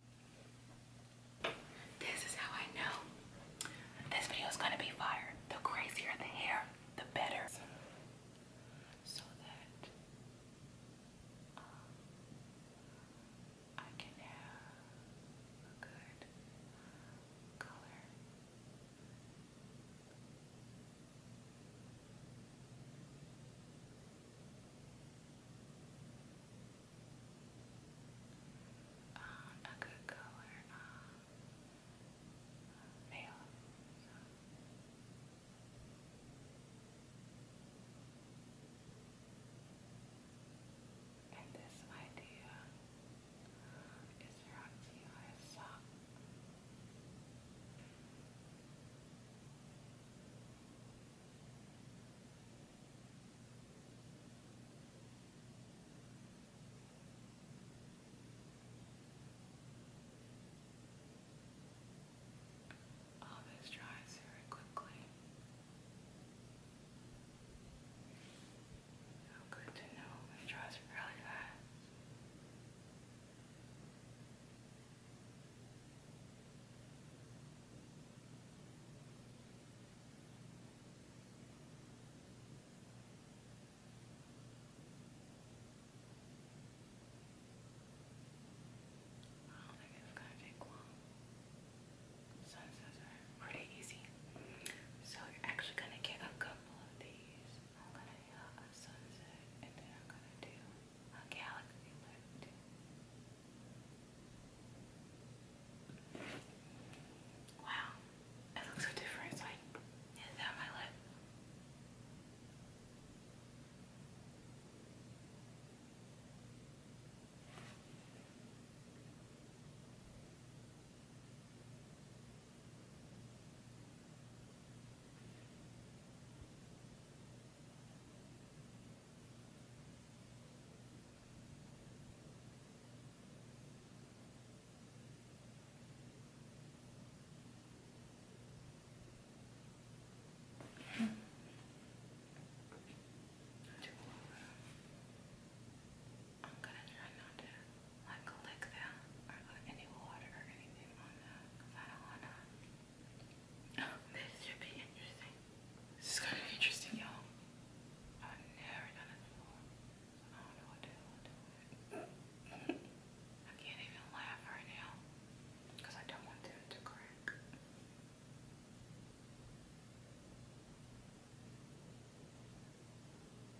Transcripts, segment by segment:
Um, this is how I know this video is gonna be fire. The crazier the hair, the better. So that um, I can have good color um, a good color, um, male. So. And this idea is there All this dries very quickly. Oh, good to know. It draws really fast. I think it's gonna take long. Sunset's pretty easy. So you're actually gonna get a couple of these. I'm gonna do uh, a sunset and then I'm gonna do a galaxy lift. Wow, it looks so different. It's like, is that my lip? I'm gonna try not to like lick them or any water or anything on them this should be interesting. This is kind of interesting, y'all. I've never done it before. I don't know what to do. I can't even laugh right now because I don't want them to crack.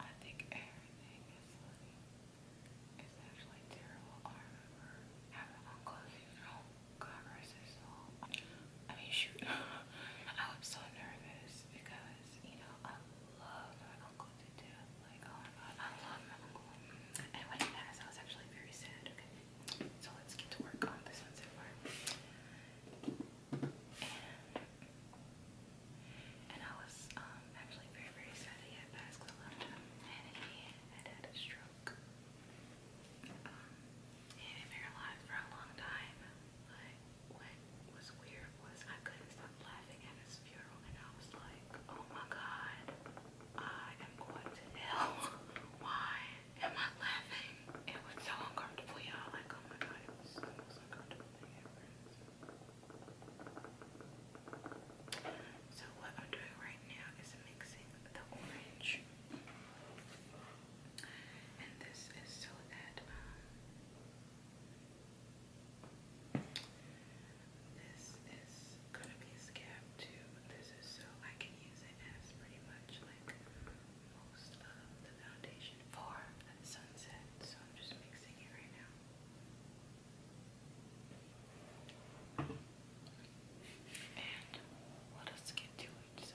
I think everything is funny. actually terrible. I remember having my closing room conferences on. I mean, shoot, I was so nervous because, you know, I love my uncle to death. Like, oh my god, I love my uncle. And when he passed, I was actually very sad, okay? So let's get to work on this one so far and I was um, actually very, very sad that he had passed because I loved him, and he had had a stroke. Um, he had been paralyzed for a long time. Like, what was weird was I couldn't stop laughing at his funeral, and I was like, oh my god, I am going to hell. Why am I laughing? It was so uncomfortable, y'all. Like, oh my god, it was the uncomfortable so what I'm doing right now is mixing the orange. And this is so that um, this is gonna be a too. This is so I can use it as pretty much like most of the foundation for that sunset, so I'm just mixing it right now. And let us get to it, so.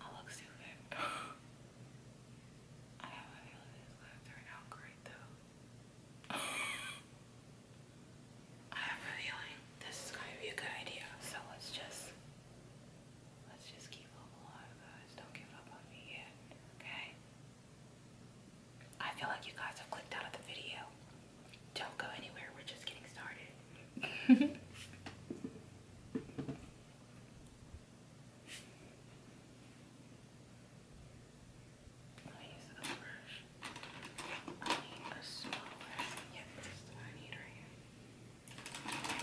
I look stupid. I have a feeling this is gonna great though. I have a feeling this is gonna be a good idea, so let's just let's just keep hope alive guys. Don't give up on me yet. Okay? I feel like you guys have clicked out of the video. Don't go anywhere, we're just getting started. Let use the brush. I need a smaller. Yep, this what I need right here.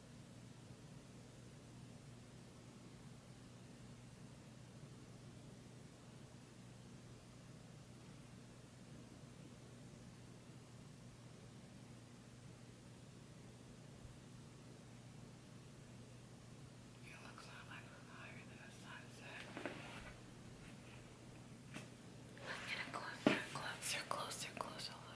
It looks like we're higher than a sunset. Let's get closer, closer, closer, closer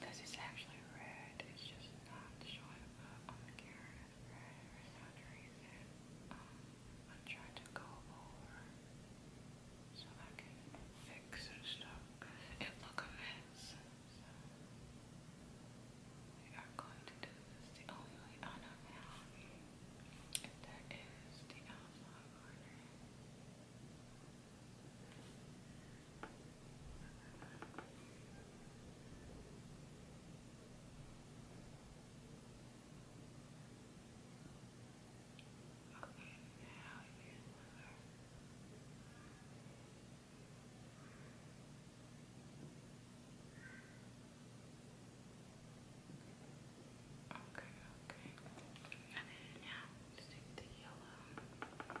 This is actually red, it's just not showing up on the camera as red for some reason. I'm trying to go over so I can fix and stuff. It look a mess. So we are going to do this the only way I know how. And that is the outside corner. Okay. Okay, now here's another. Okay, okay. And then now take the yellow. Okay.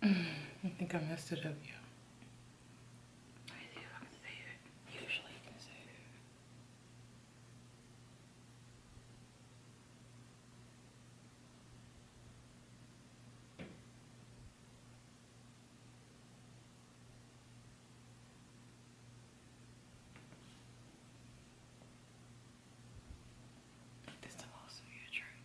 I think I messed it up, yeah. I see I can say it. Usually you can say it. This will also be a true.